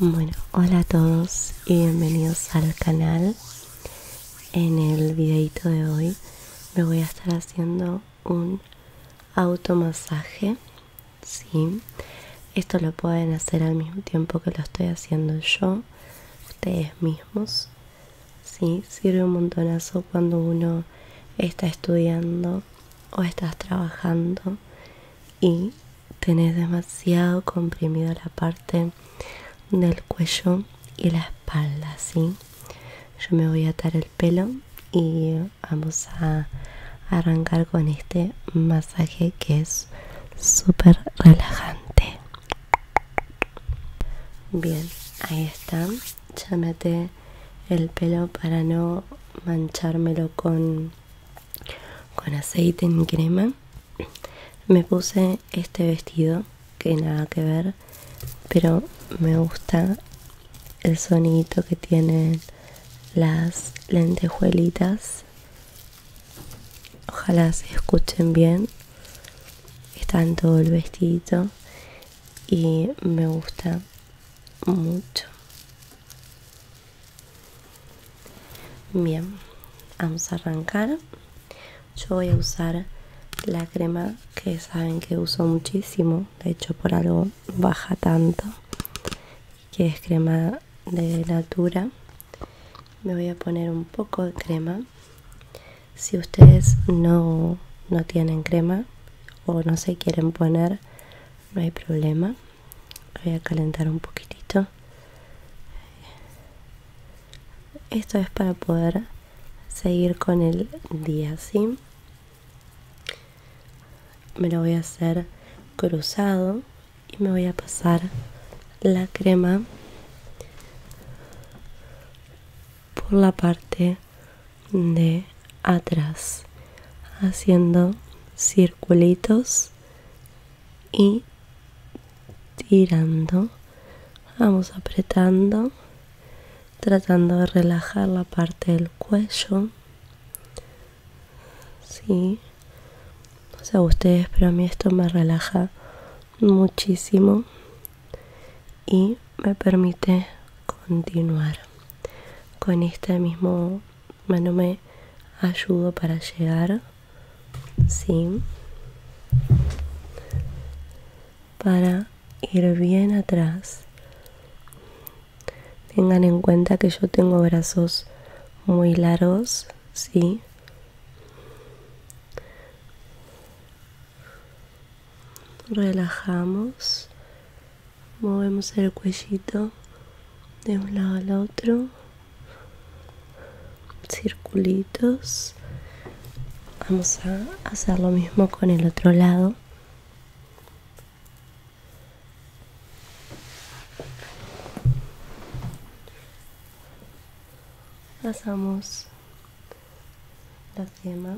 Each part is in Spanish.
Bueno, hola a todos y bienvenidos al canal. En el videito de hoy me voy a estar haciendo un automasaje. Esto lo pueden hacer al mismo tiempo que lo estoy haciendo yo, ustedes mismos. Sirve un montonazo cuando uno está estudiando o estás trabajando y tenés demasiado comprimida la parte del cuello y la espalda, ¿sí? Yo me voy a atar el pelo y vamos a arrancar con este masaje que es súper relajante. Bien, ahí está. Ya me el pelo para no manchármelo con con aceite en crema me puse este vestido que nada que ver pero me gusta el sonidito que tienen las lentejuelitas ojalá se escuchen bien está en todo el vestidito y me gusta mucho Bien, vamos a arrancar. Yo voy a usar la crema que saben que uso muchísimo, de hecho por algo baja tanto, que es crema de Natura. Me voy a poner un poco de crema. Si ustedes no, no tienen crema o no se quieren poner, no hay problema voy a calentar un poquitito esto es para poder seguir con el día así me lo voy a hacer cruzado y me voy a pasar la crema por la parte de atrás haciendo circulitos y tirando vamos apretando tratando de relajar la parte del cuello sí no sé ustedes pero a mí esto me relaja muchísimo y me permite continuar con esta mismo mano me ayudo para llegar ¿sí? para ir bien atrás tengan en cuenta que yo tengo brazos muy largos ¿sí? relajamos movemos el cuellito de un lado al otro circulitos vamos a hacer lo mismo con el otro lado pasamos la cima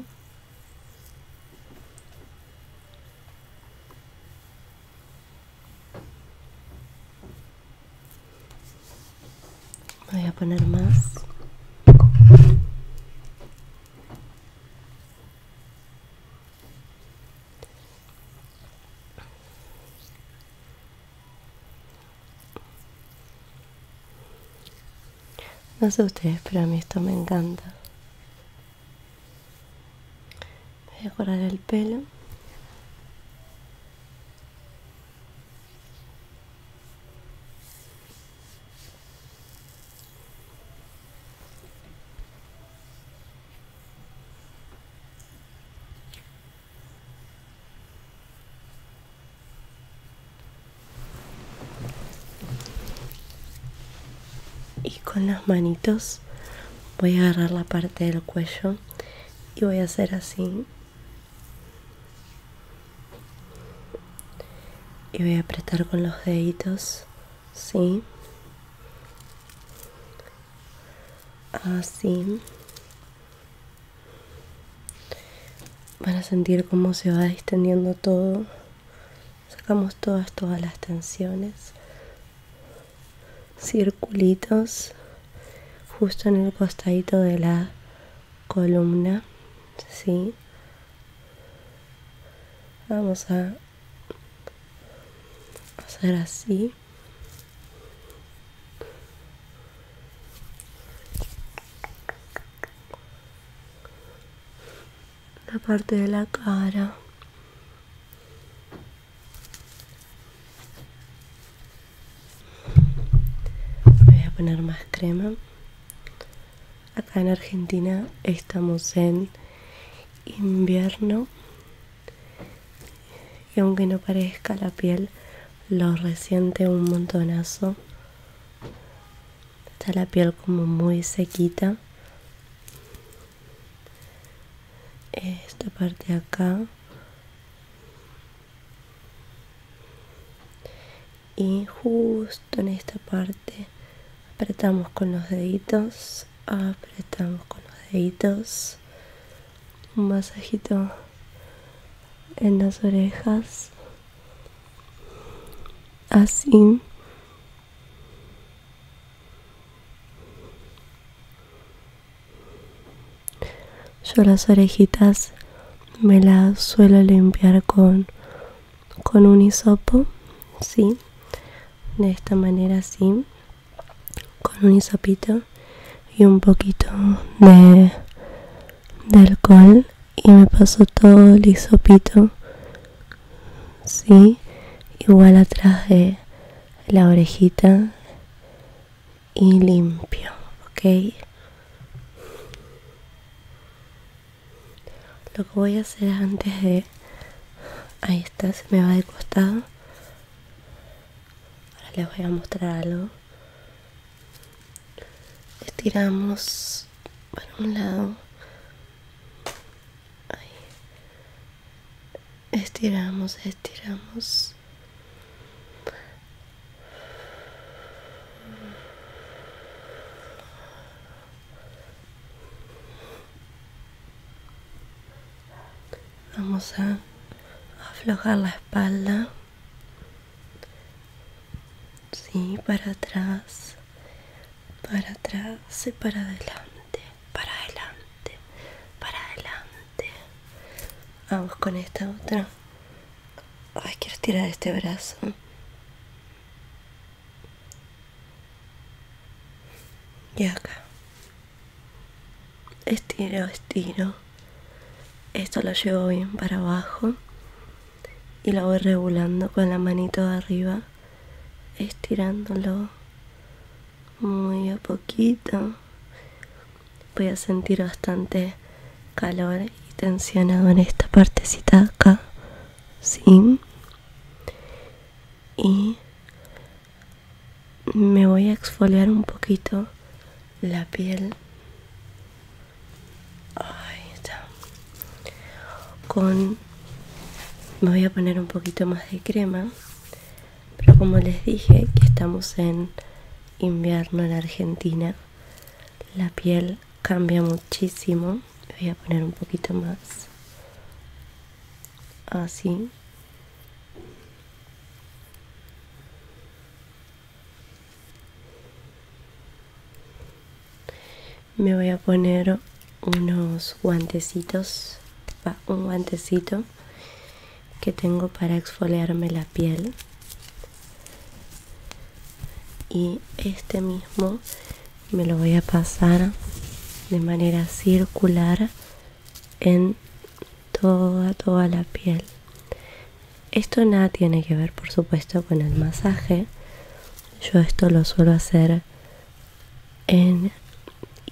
Voy a poner más. No sé ustedes, pero a mí esto me encanta. Voy a decorar el pelo y con las manitos voy a agarrar la parte del cuello y voy a hacer así y voy a apretar con los deditos sí así van a sentir cómo se va distendiendo todo sacamos todas todas las tensiones circulitos justo en el costadito de la columna ¿sí? vamos a hacer así la parte de la cara voy a poner más crema acá en Argentina estamos en invierno y aunque no parezca la piel lo resiente un montonazo Está la piel como muy sequita. Esta parte acá. Y justo en esta parte apretamos con los deditos. Apretamos con los deditos. Un masajito en las orejas así. Yo las orejitas me las suelo limpiar con, con un hisopo, ¿sí? De esta manera así, con un hisopito y un poquito de, de alcohol y me paso todo el hisopito ¿sí? Igual atrás de la orejita y limpio, ¿ok? Lo que voy a hacer antes de... Ahí está, se me va de costado. Ahora les voy a mostrar algo. Estiramos por un lado. Estiramos, estiramos. Vamos a aflojar la espalda sí, para atrás, para atrás y para adelante, para adelante, para adelante. Vamos con esta otra. Ay, quiero tirar este brazo. Y acá. Estiro, estiro. Esto lo llevo bien para abajo y lo voy regulando con la manito de arriba, estirándolo muy a poquito. Voy a sentir bastante calor y tensionado en esta partecita acá, ¿sí? Y me voy a exfoliar un poquito la piel está. Con me voy a poner un poquito más de crema, pero como les dije que estamos en invierno en Argentina, la piel cambia muchísimo. voy a poner un poquito más así me voy a poner unos guantecitos un guantecito que tengo para exfoliarme la piel y este mismo me lo voy a pasar de manera circular en toda toda la piel esto nada tiene que ver, por supuesto, con el masaje. Yo esto lo suelo hacer en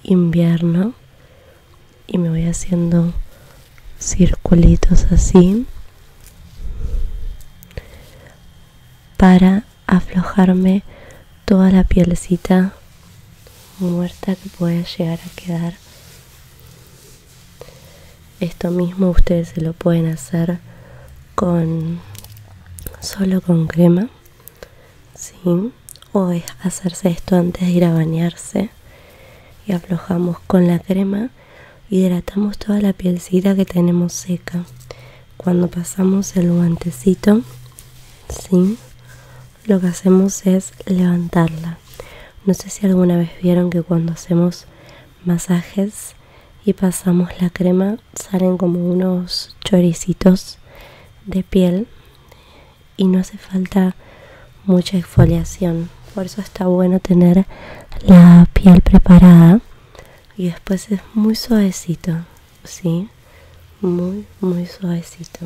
invierno y me voy haciendo circulitos así para aflojarme toda la pielcita muerta que pueda llegar a quedar esto mismo ustedes se lo pueden hacer con solo con crema, ¿sí? o es hacerse esto antes de ir a bañarse y aflojamos con la crema, hidratamos toda la pielcita que tenemos seca. Cuando pasamos el guantecito, ¿sí? lo que hacemos es levantarla. No sé si alguna vez vieron que cuando hacemos masajes y pasamos la crema salen como unos choricitos de piel y no hace falta mucha exfoliación por eso está bueno tener la piel preparada y después es muy suavecito sí muy muy suavecito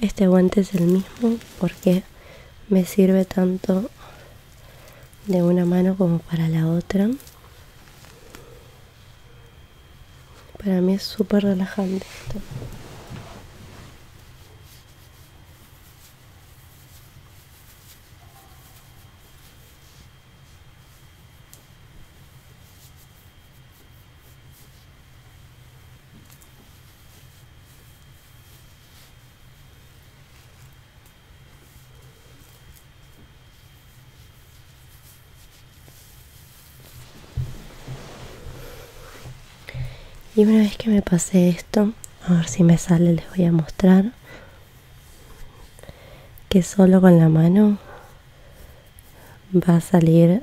este guante es el mismo porque me sirve tanto de una mano como para la otra. Para mí es súper relajante esto. Y una vez que me pasé esto, a ver si me sale, les voy a mostrar que solo con la mano va a salir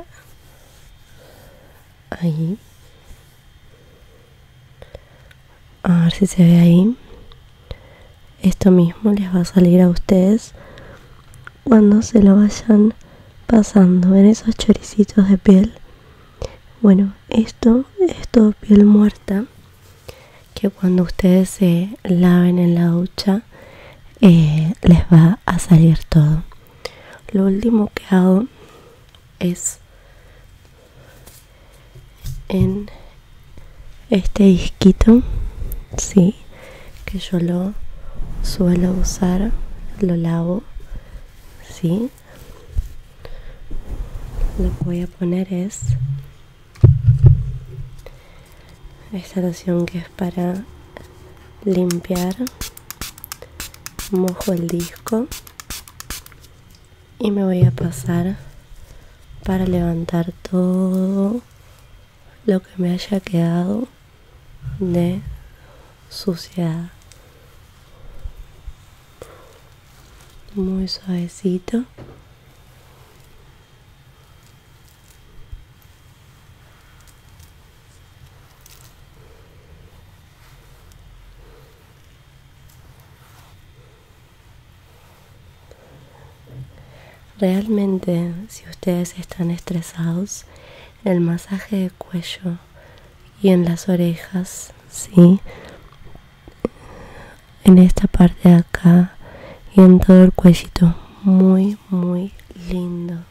ahí. A ver si se ve ahí. Esto mismo les va a salir a ustedes cuando se lo vayan pasando en esos choricitos de piel. Bueno, esto es todo piel muerta que cuando ustedes se laven en la ducha les va a salir todo lo último que hago es en este disquito sí que yo lo suelo usar lo lavo sí lo voy a poner es esta loción que es para limpiar mojo el disco y me voy a pasar para levantar todo lo que me haya quedado de suciedad muy suavecito Realmente, si ustedes están estresados, el masaje de cuello y en las orejas, ¿sí? En esta parte de acá y en todo el cuellito. Muy, muy lindo.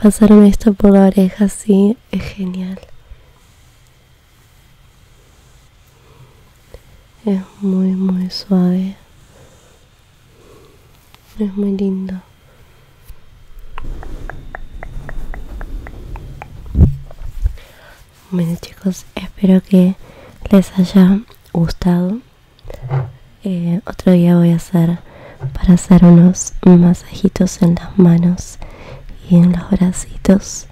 Pasarme esto por la oreja sí es genial. Es muy, muy suave. Es muy lindo. Bueno chicos, espero que les haya gustado. Eh, otro día voy a hacer para hacer unos masajitos en las manos y en los bracitos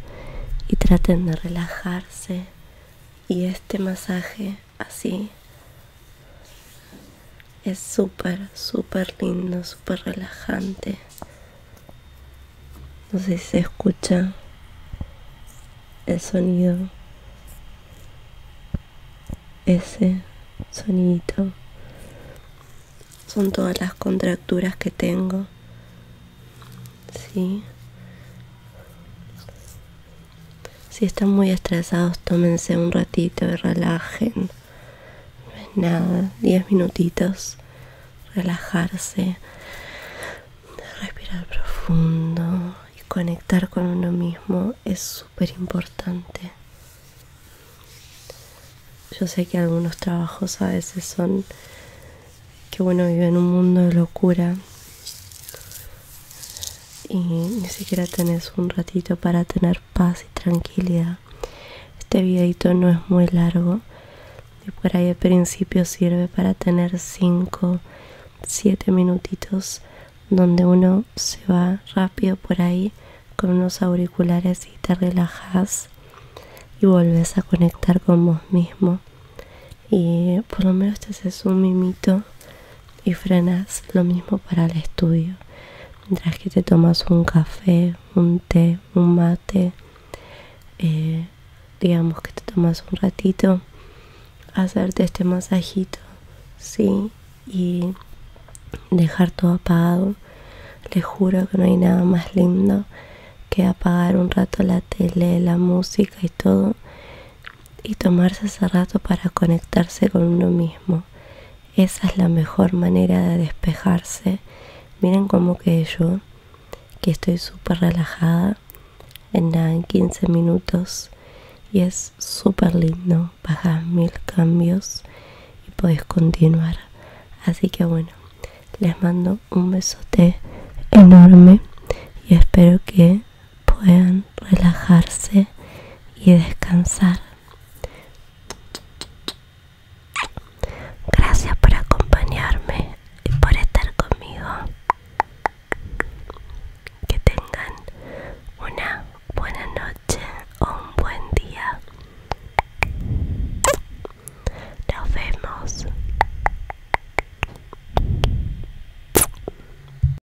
y traten de relajarse. Y este masaje así. Es súper, súper lindo, súper relajante. No sé si se escucha el sonido. Ese sonido Son todas las contracturas que tengo. Sí. Si están muy estresados, tómense un ratito y relajen. No es nada, 10 minutitos. Relajarse, respirar profundo y conectar con uno mismo es súper importante. Yo sé que algunos trabajos a veces son que bueno, viven un mundo de locura y ni siquiera tenés un ratito para tener paz y tranquilidad. Este videito no es muy largo y por ahí al principio sirve para tener 5, 7 minutitos donde uno se va rápido por ahí con unos auriculares y te relajas y volvés a conectar con vos mismo. Y por lo menos este es un mimito y frenas. Lo mismo para el estudio. Mientras que te tomas un café, un té, un mate, eh, digamos que te tomas un ratito, hacerte este masajito, ¿sí? Y dejar todo apagado. Les juro que no hay nada más lindo que apagar un rato la tele, la música y todo y tomarse ese rato para conectarse con uno mismo. Esa es la mejor manera de despejarse. Miren como que yo, que estoy súper relajada, en nada, en 15 minutos, y es súper lindo, bajas mil cambios y puedes continuar. Así que bueno, les mando un besote enorme y espero que puedan relajarse y descansar. Gracias por acompañarme y por estar conmigo. Que tengan una buena noche o un buen día. Nos vemos.